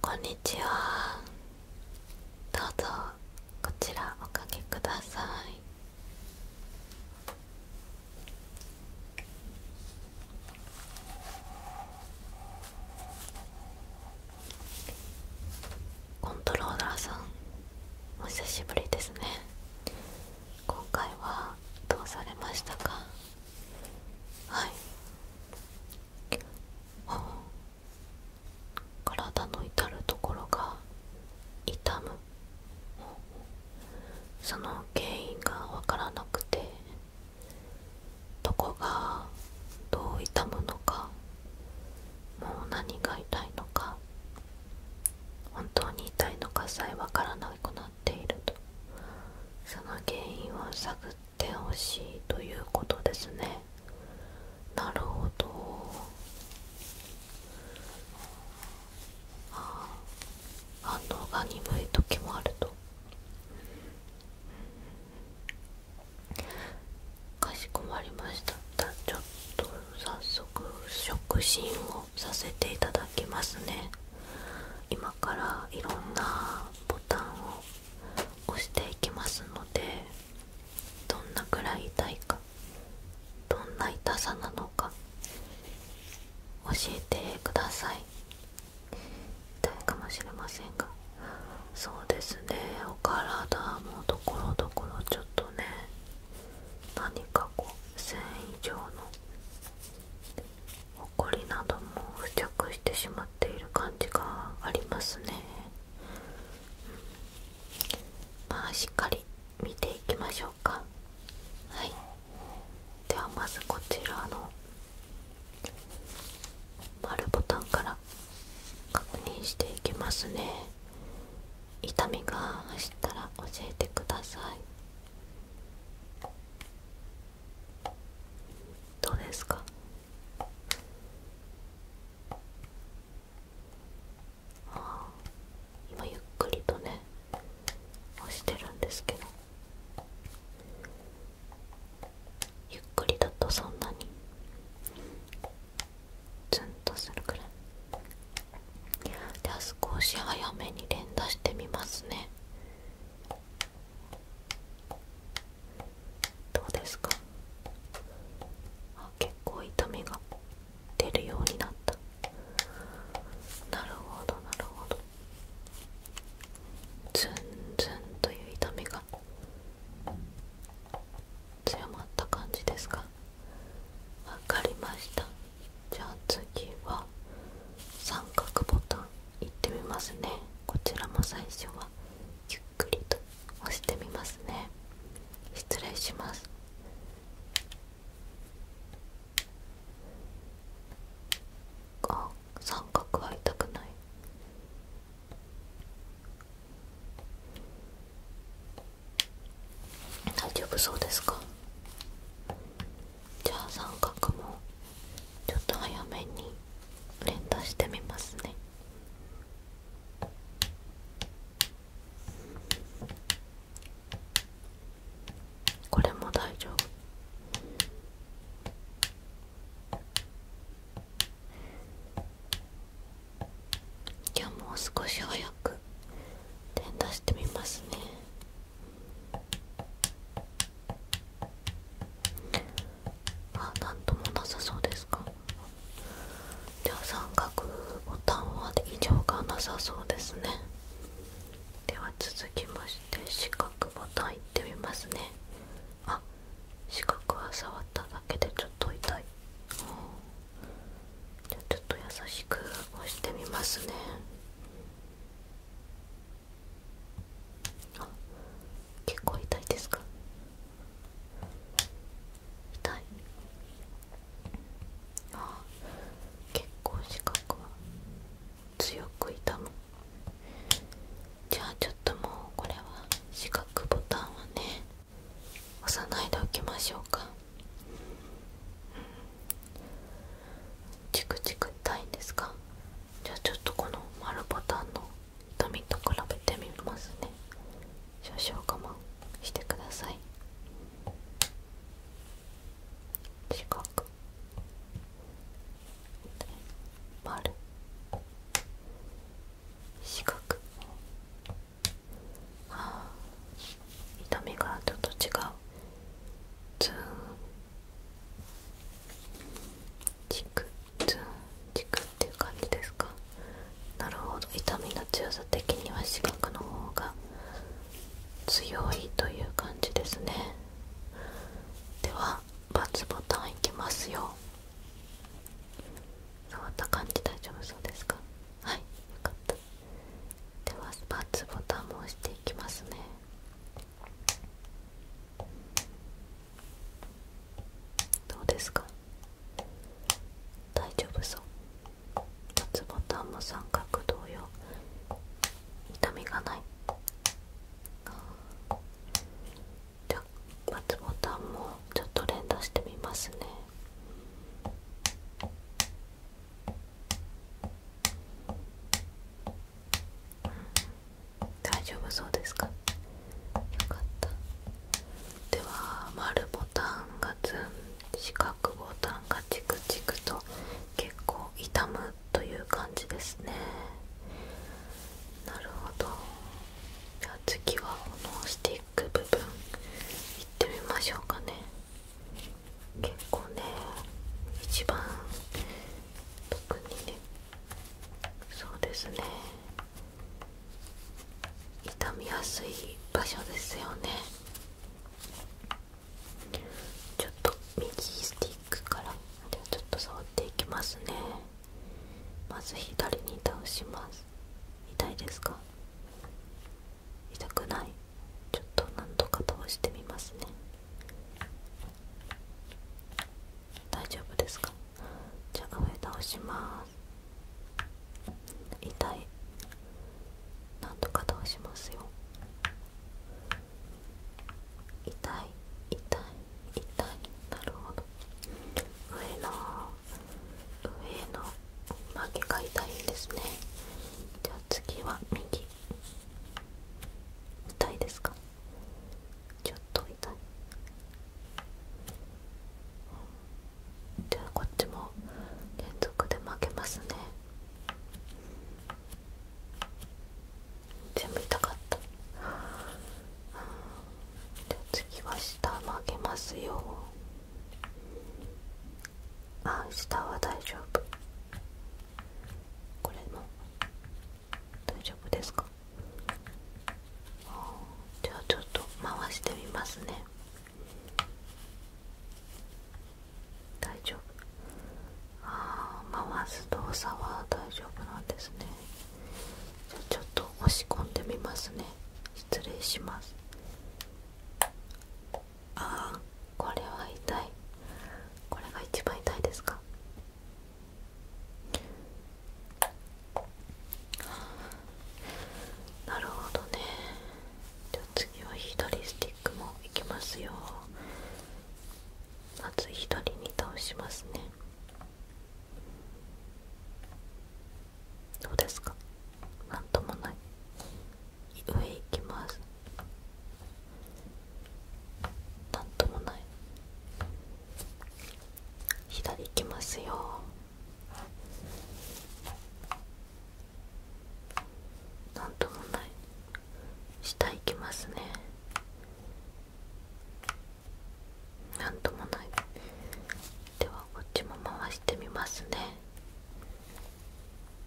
こんにちはどうぞこちらおかけくださいコントローラーさんお久しぶりですね今回はどうされましたかはい体の至る所が痛むその原因がわからなくてどこがどう痛むのかもう何が痛いのか本当に痛いのかさえわからなくなっその原因を探ってほしいということですねなるほどああ反応が鈍い時もあるとかしこまりましたちょっと早速触診をさせていただきますね今からいろんなボタンを押していきますのでどんなくらい痛いかどんな痛さなのか教えてください痛いかもしれませんがそうですねお体もところどころちょっとね何かこう繊以上のほりなども付着してしまっている感じがありますね、まあしっかり見ていきましょうかはいではまずこちらの丸ボタンから確認していきますね痛みが走ったら教えてくださいどうですかあ今ゆっくりとね押してるんですけどゆっくりだとそんなにツンとするくらいでは少し早めに連打してみますねどうですかあ結構痛みが出るようになったなるほどなるほどズンズンという痛みが強まった感じですかわかりましたじゃあ次は三角ボタンいってみますねこちらも最初はゆっくりと押してみますね失礼しますあ三角は痛くない大丈夫そうですかじゃあ三角もちょっと早めに連打してみますねこれも大丈夫今日もう少し早く連打してみますねあなんともなさそうですかじゃあ、三角ボタンは異常がなさそうですねでは続きまして四角ボタンいってみますねあ四角は触っただけでちょっと痛いじゃあちょっと優しく押してみますねあ結構痛いですか痛いあ結構四角。は強く痛むじゃあちょっともうこれは四角ボタンはね押さないでおきましょうか、うん、チクチク痛いんですかじゃあちょっとこの丸ボタンの痛みと比べてみますね少々我慢してください四角丸四角はあ痛みがちょっと違うズーンチクツンチクっていう感じですかなるほど痛みの強さ的には四角の方が強いという感じですねでは×ボタンいきますよ変わった感じ大丈夫そうですかはいよかったでは×ボタンも押していきますねどうですか大丈夫そう夏ボタンも三角同様痛みがないじゃあ夏ボタンもちょっと連打してみますね大丈夫そうですかよかったでは丸ボタンがズン四角ボタンがチクチクと結構痛むという感じですねなるほどじゃあ次はこのスティック部分いってみましょうかね結構ね一番特にねそうですね痛みやすい場所ですよねちょっと右スティックからでちょっと触っていきますねまず左に倒します痛いですか痛くないちょっとなんとか倒してみますね大丈夫ですかじゃあ上倒します痛いなんとか倒しますよ痛い痛い痛いなるほど上の上の曲げが痛いですねじゃあ次は右痛いですかちょっと痛いじゃあこっちも連続で負けますね全部痛かったじゃあ次は下負けますよあ下は大丈夫これも大丈夫ですかじゃあちょっと回してみますね大丈夫ああ回す動作は大丈夫なんですねちょっと押し込んでみますね失礼しますああこれは痛いこれが一番痛いですかなるほどねじゃあ次は左スティックもいきますよまず左に倒しますねどうですかなんともない上行きますなんともない左行きますよなんともない下行きますねなんともないではこっちも回してみますね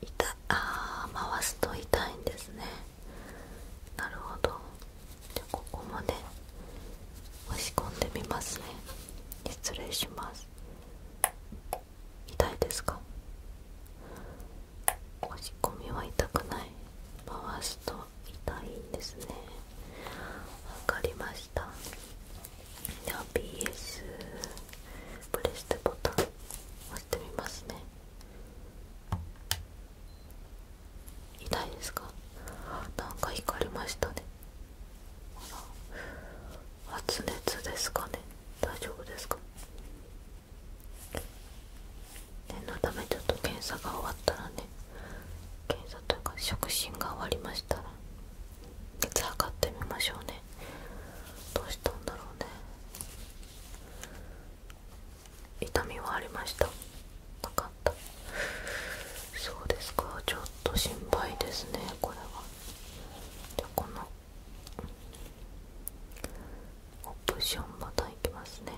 いたあ回すと痛いんですねなるほどじゃここまで。押し込んでみますね失礼します痛いですか押し込みは痛くない回すと痛いんですねわかりましたでは BS プレステボタン押してみますね痛いですかなんか光りましたねら。発熱ですかね大丈夫ですか念のためちょっと検査が終わったらね検査というか触診が終わりましたら熱測ってみましょうねどうしたんだろうね痛みはありましたなかったそうですかちょっと心配ですねこれはじゃこのオプションまたいきますね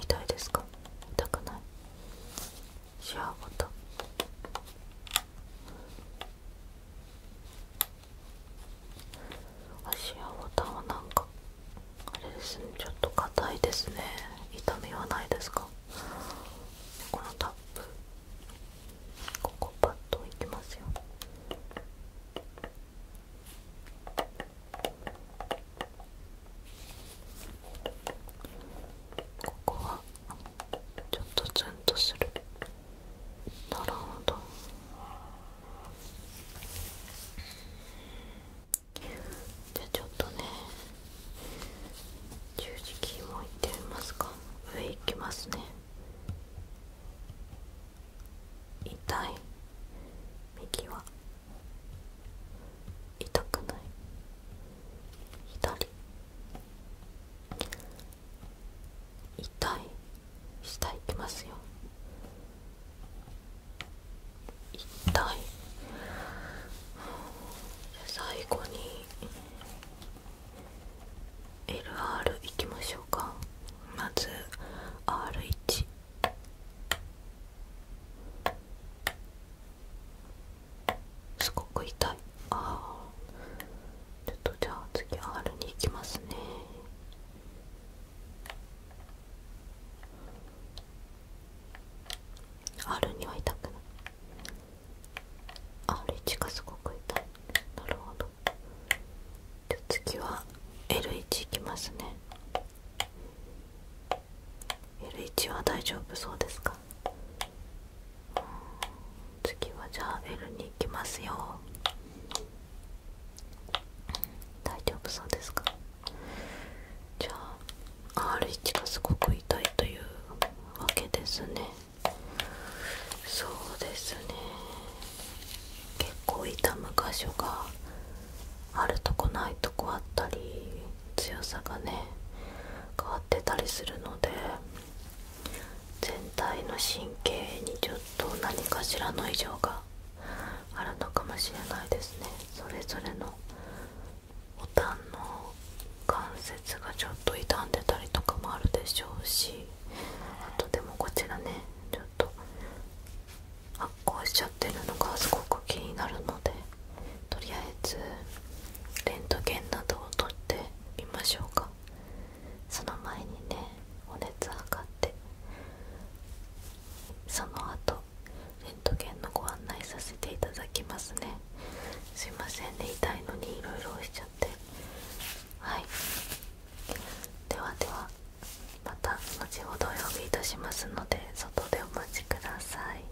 痛いですか痛くないシャーボタン足やボタンはなんかあれですねちょっと硬いですね痛みはないですかこのタップここパッといきますよここはちょっとツンとするなるほどじゃあちょっとね十字キーもいってみますか上いきますね痛い右は痛くない左痛い下いきますよ痛い最後に LR いきましょうかまず R1 すごく痛いああちょっとじゃあ次は R に行きますねあるには痛くないある1がすごく痛いなるほどじゃあ次は L1 いきますね L1 は大丈夫そうですか次はじゃあ L に行きますよ大丈夫そうですかじゃあ R1 がすごく痛いというわけですねそうですね結構痛む箇所があるとこないとこあったり強さがね変わってたりするので全体の神経にちょっと何かしらの異常があるのかもしれないですねそれぞれのボタンの関節がちょっと傷んでたりとかもあるでしょうしあとでもこちらねちょっと発酵しちゃってるのがすごく気になるのでとりあえずレントゲンなどを取ってみましょうかその前にねお熱測ってその後レントゲンのご案内させていただきますねすいませんね痛いのにいろいろしちゃってはいではではまた後ほどお呼びいたしますので外でお待ちください